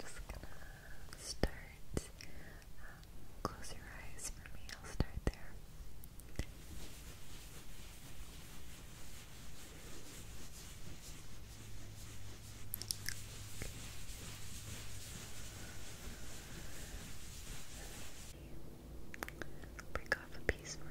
just gonna start. Um, close your eyes for me. I'll start there. break off a piece for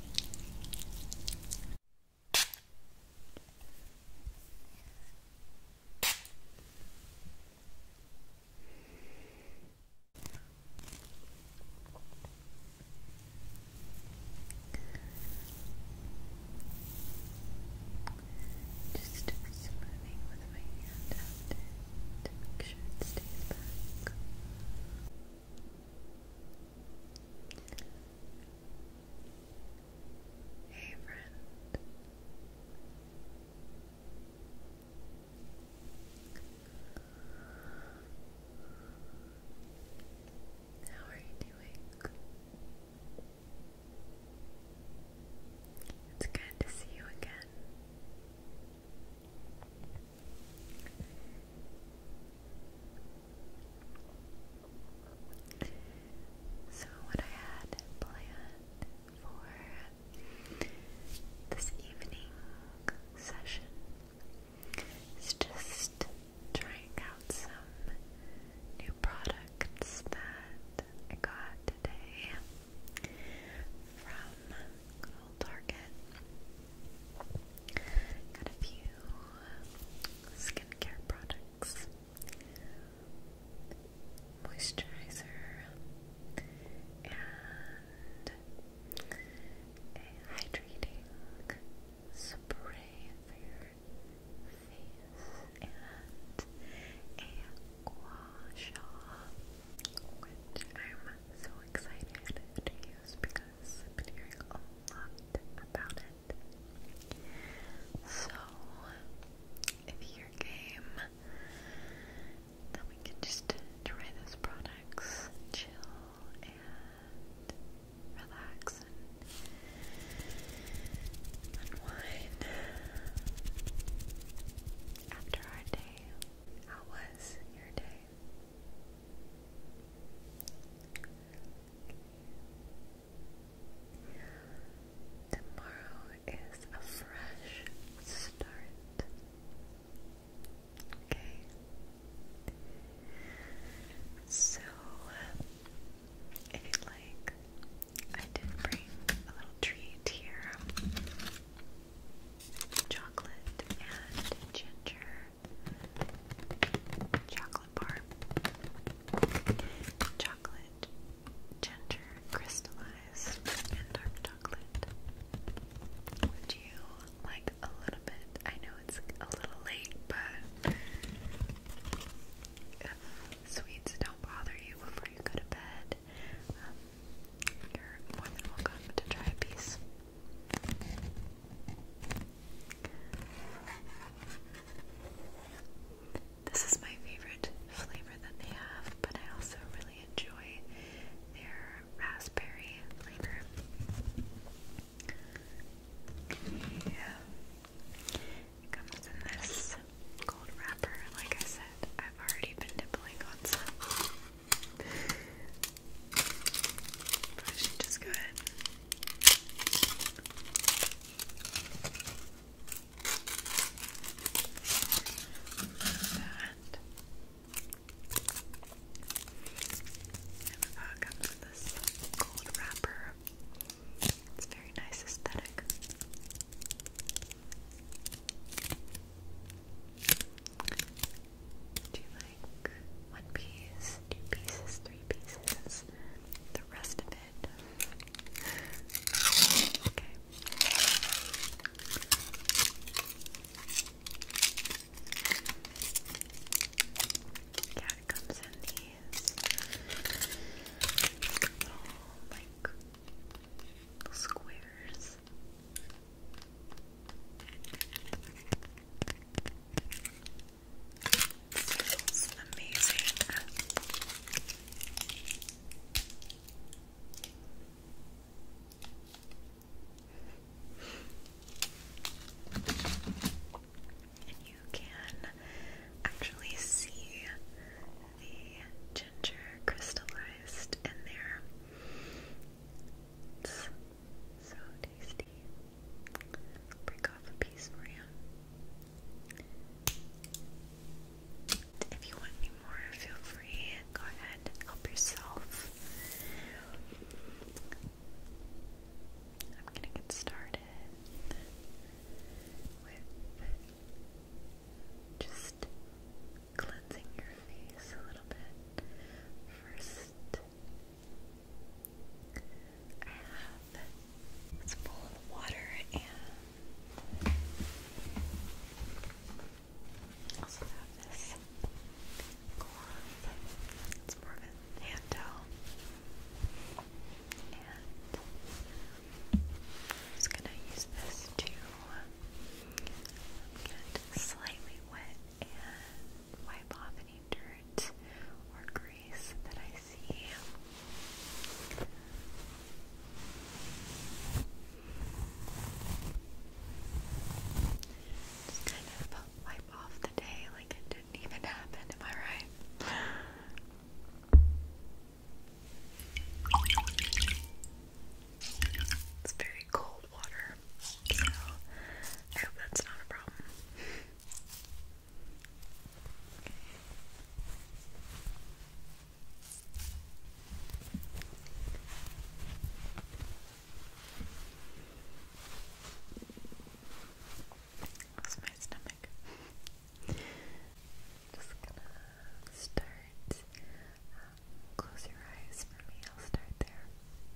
Just smoothing with my hand to make sure it stays back. Hey, friend. How are you doing? It's good to see you again. So, what I had planned for this evening session is just trying out some new products that I got today from Target. Got a few skincare products, moisturizer, and a hydrating spray for your face and a gua sha, which I'm so excited to use because I've been hearing a lot about it. So, if you're game, then we can just try those products, chill, and relax and unwind after our day. How was your day? Tomorrow is a fresh start. Okay. So, if you'd like, I did bring a little treat here chocolate and ginger Chocolate bar. Chocolate, ginger, crystallized, and dark chocolate. Would you like a little bit? I know it's a little late, but sweets don't bother you before you go to bed, um, you're more to try a this is my favorite flavor that they have, but I also really enjoy their raspberry flavor. It comes in this gold wrapper. Like I said, I've already been nibbling on some. I should just go ahead. That. And the pot comes with this gold wrapper. It's very nice aesthetic. Do you one piece, two pieces, three pieces, the rest of it. Okay. Yeah, it comes in these little like squares. Smells amazing. And you can actually see the ginger crystallized in there. so tasty. Break off a piece for you. If you want any more, feel free. Go ahead, help yourself. I'm gonna get started with just cleansing your face a little bit. First, I have it's full of water and also have this glove. It's more of a hand towel. And I'm just gonna use this to get slightly wet and wipe off any dirt or grease that I see. Just kind of wipe off the day like it didn't even happen, am I right? It's very cold water, I hope that's not a problem. That's my stomach. Just gonna start. Um, close your eyes for me. I'll start there.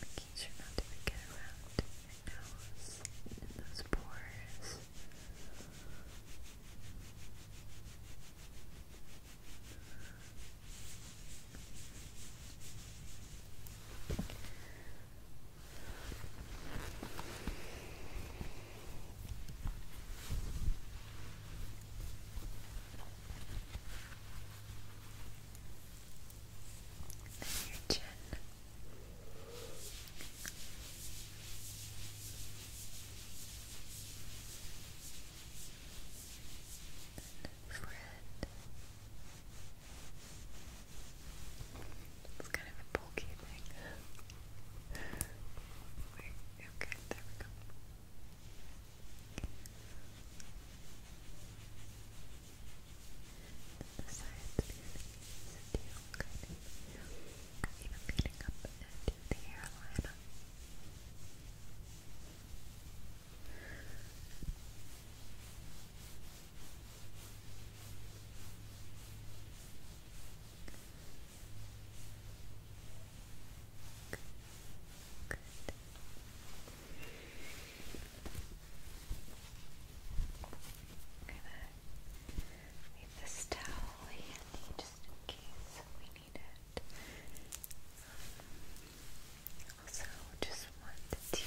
Making sure not to get around your nose and those pores your chin. forehead. It's kind of bulky thing. Wait, okay, there we go. The sides really you kind of even leading up into the hairline. Good. i gonna leave this towel handy just in case we need it. Also, just wanted to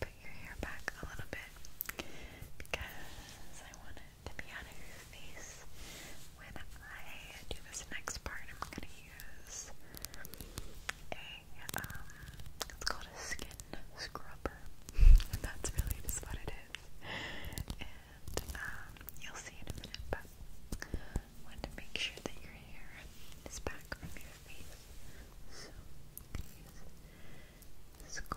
put your hair back a little bit because I want to to be out When I do this next part, I'm going to use a, um, it's called a skin scrubber. That's really just what it is. And, um, you'll see in a minute, but want to make sure that your hair is back from your face. So, I'm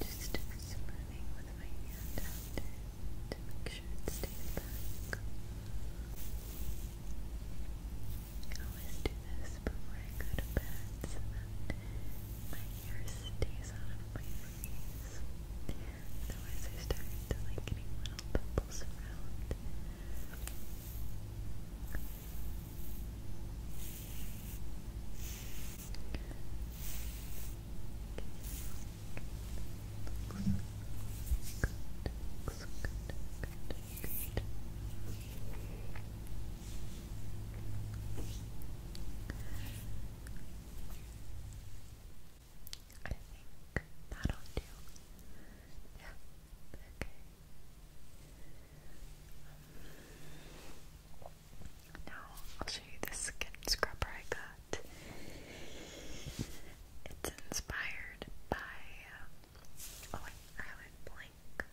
Just smoothing with my hand to make sure it stays back. I always do this before I go to bed so that my hair stays out of my face. So as I started to like getting little bubbles around I think that'll do. Yeah, okay. Um, I'll show you the skin scrubber I got. It's inspired by. oh, wait, I went blank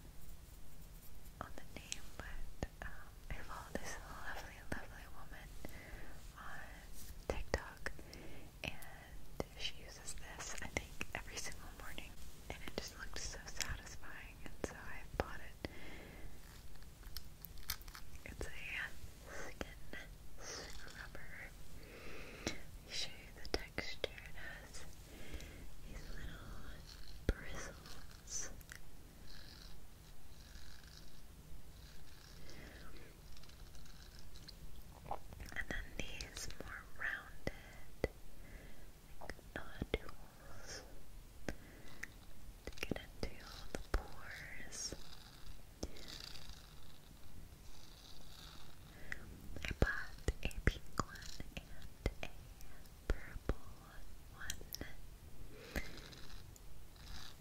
on the name, but um, I follow this lovely, lovely woman on TikTok, and she uses this, I think, every single morning, and it just looks so satisfying, and so I bought it. It's a skin scrubber. I'll show you the texture. It has these little bristles. And then these more rounded nodules to get into the pores. I bought a pink one and a purple one.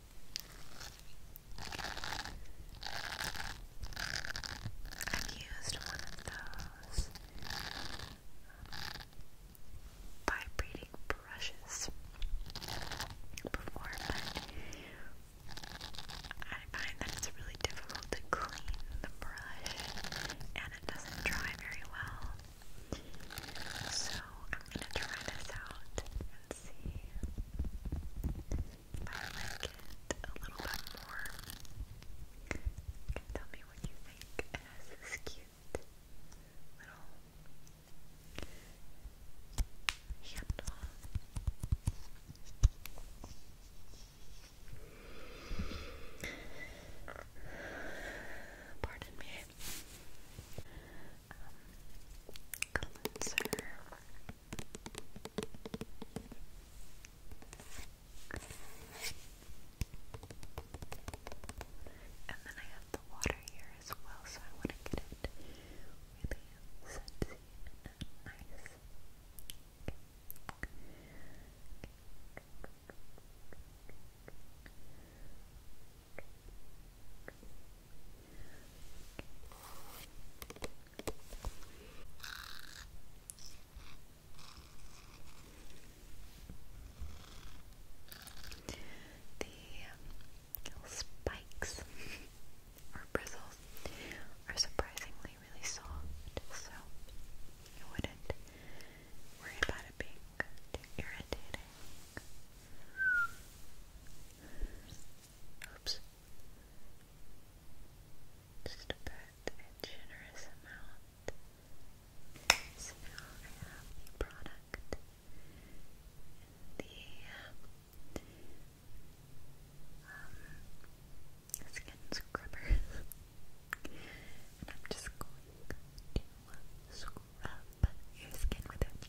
I've used one of those um, vibrating brushes before, but I find that it's really difficult to clean the brush and it doesn't dry very well. So I'm going to try this out and see. I like it a little bit more. You can tell me what you think. It has this cute little handle. Pardon me. Um, cleanser. And then I have the water here as well, so I want to get it really scentsy and nice. Okay. Okay. The um, spikes or bristles are surprisingly really soft, so you wouldn't worry about it being irritating. Oops. Just put a generous amount. So I have the product the um, skin scrubber. and I'm just going to uh, scrub your skin with it.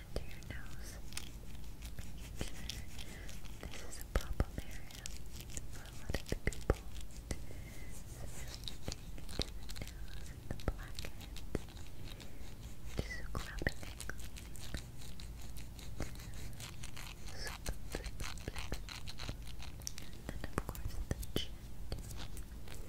into your nose, this is a problem area for a lot of people. So just dipping the nose and the blackheads, just clapping it. And of course the chin.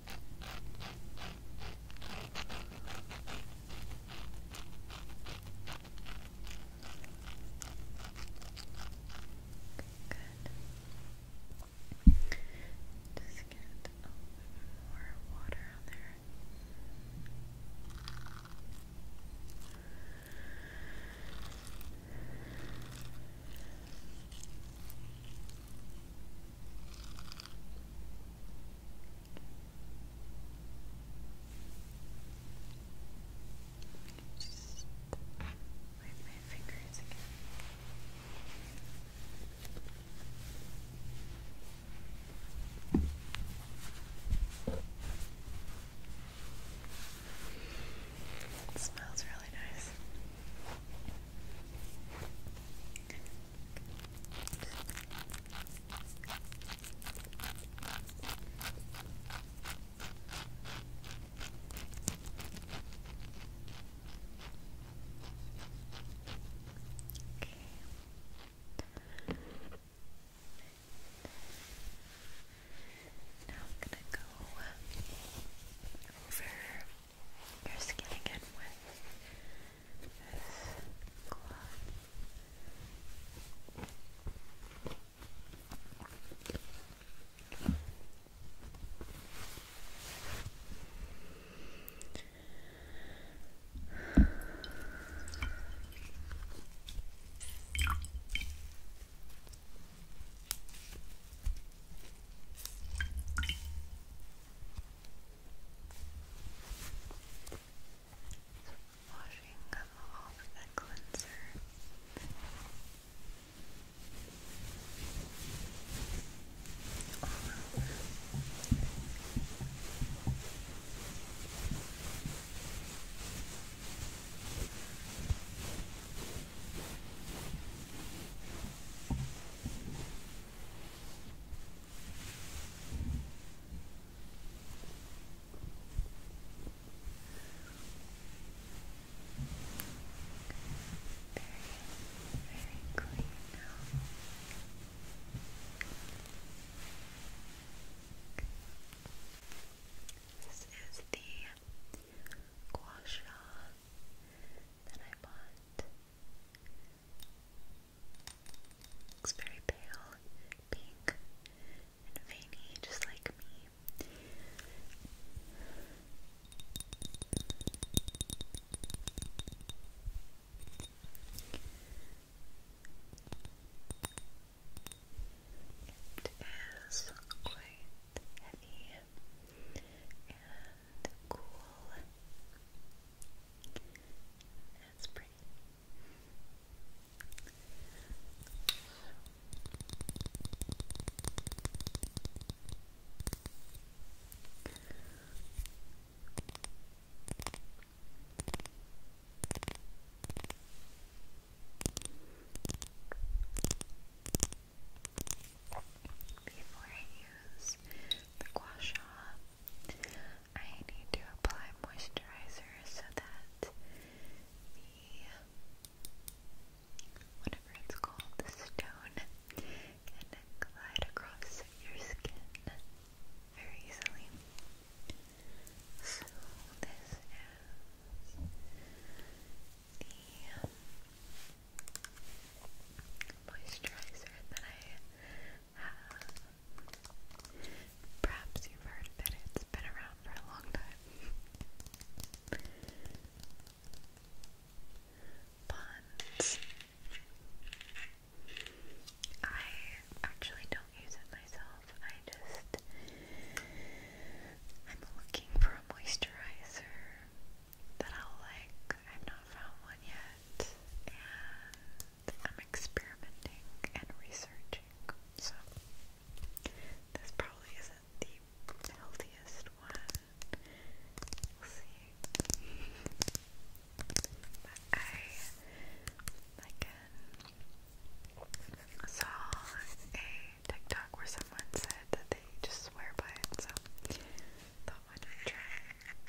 Good. Just get a little more water on there. Just wipe my fingers again. It smells really nice. Now I'm going to go over your skin again with this cloth. Washing off the cleanser very clean This is the gua sha that I bought. Looks very pale, pink, and veiny, just like me. It is quite heavy the cool. That's pretty. Before I use the gua sha, I need to apply moisturizer so that the whatever it's called, stone, can glide across your skin very easily. So this is the moisturizer that I have. Perhaps you've heard of it, has been around for a long time. Bonds. I actually don't use it myself. I just I'm looking for a moisturizer that i like. I've not found one yet, and I'm experimenting and researching. So this probably isn't the healthiest one. We'll see. I like uh, saw a TikTok where someone said that they just swear by it, so thought why not try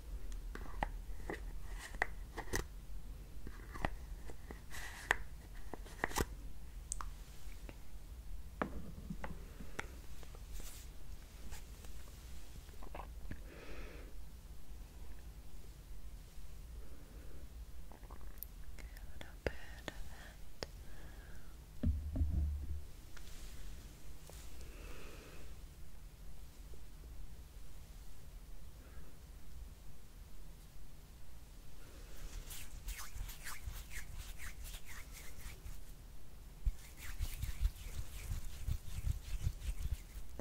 little bit of that. Okay.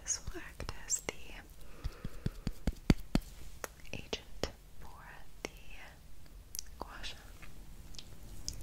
This will act as the agent for the guasha.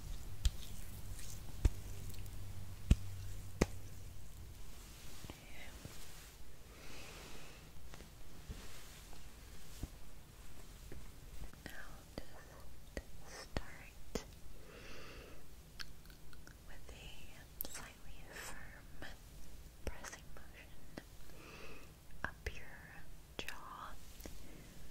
just start with a slightly firm pressing motion up your jaw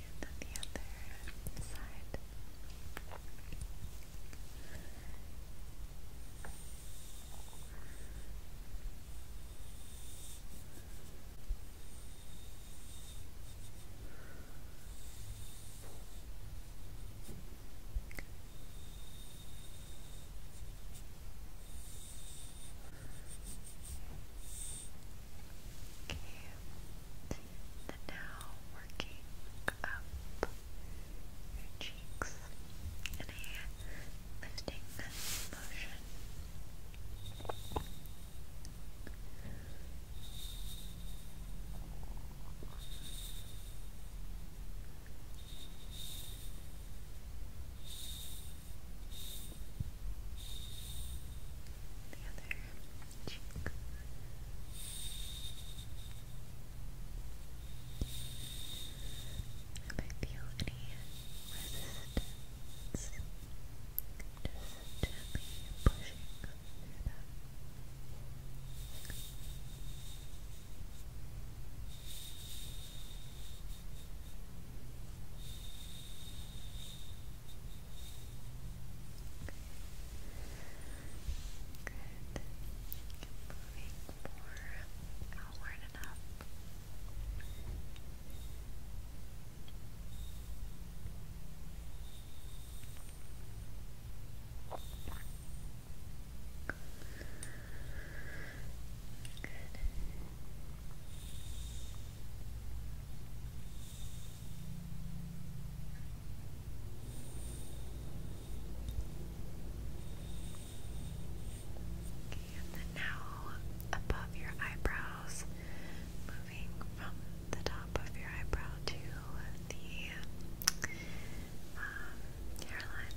And then the other side. Okay and now working up your cheeks in a lifting motion. Good. The other cheek. If I feel any resistance, just gently pushing through that. Good. Moving more outward and up. Good. And then now above your eyebrows, moving from the top of your eyebrow to the um, hairline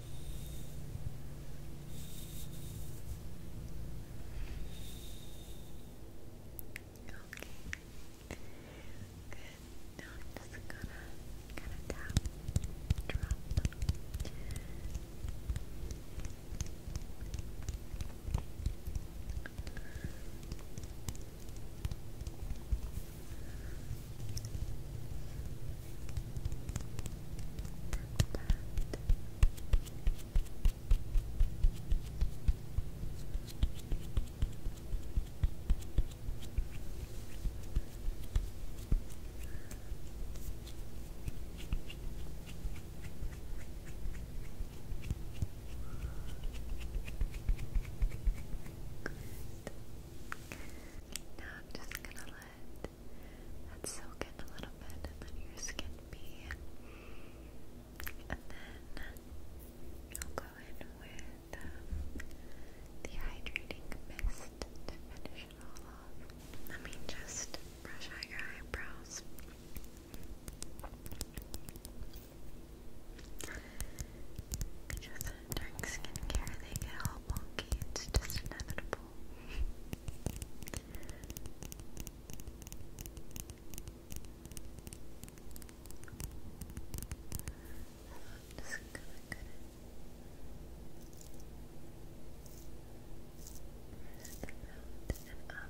Okay. Good. Now I'm just gonna kinda tap, drop. Okay. Circle that. Now I'm just going to let that soak in a little bit and let your skin be. And then I'll go in with um, the hydrating mist to finish it all off. Let me just brush out your eyebrows. Just in dark skincare, they get all wonky. It's just inevitable. I'm just gonna cut it. and up.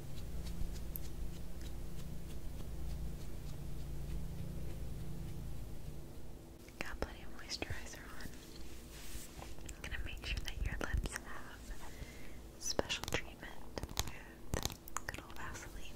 Got plenty of moisturizer on. I'm gonna make sure that your lips have special treatment good old Vaseline.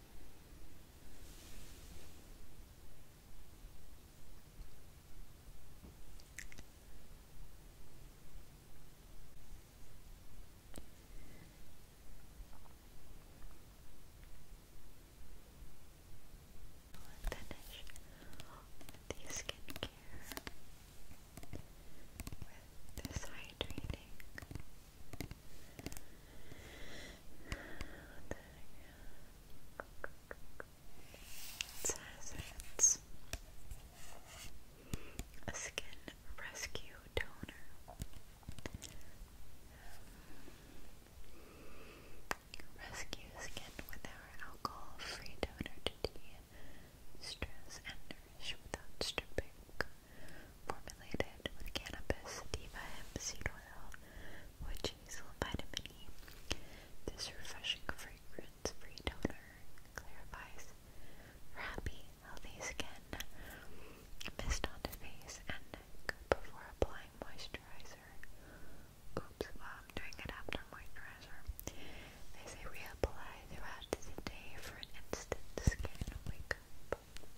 I'll finish the skincare with this hydrating it says a skin rescue toner. Rescue skin with our alcohol free toner to de stress and nourish without stripping formulated with cannabis, sativa hemp seed oil, wood chisel, vitamin E. This refreshing fragrance-free toner clarifies for happy, healthy skin. Mist on the face and neck before applying moisturizer. Oops, well, I'm doing it after moisturizer. They say reapply throughout the day for an instant skin wake up.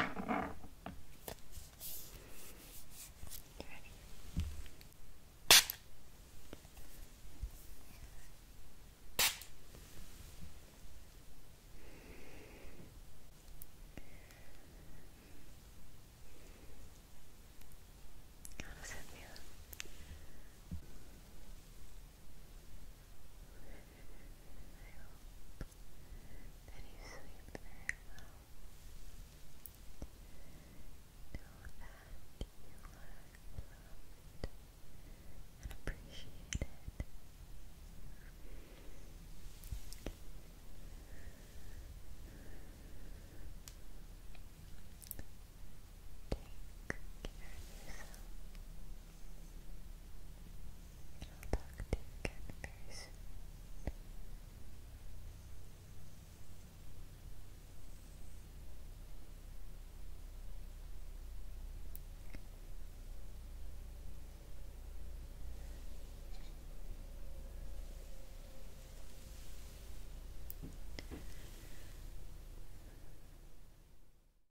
You ready? How does it feel? that you sleep Know that you are loved and appreciated. Take care of yourself. And will talk to you again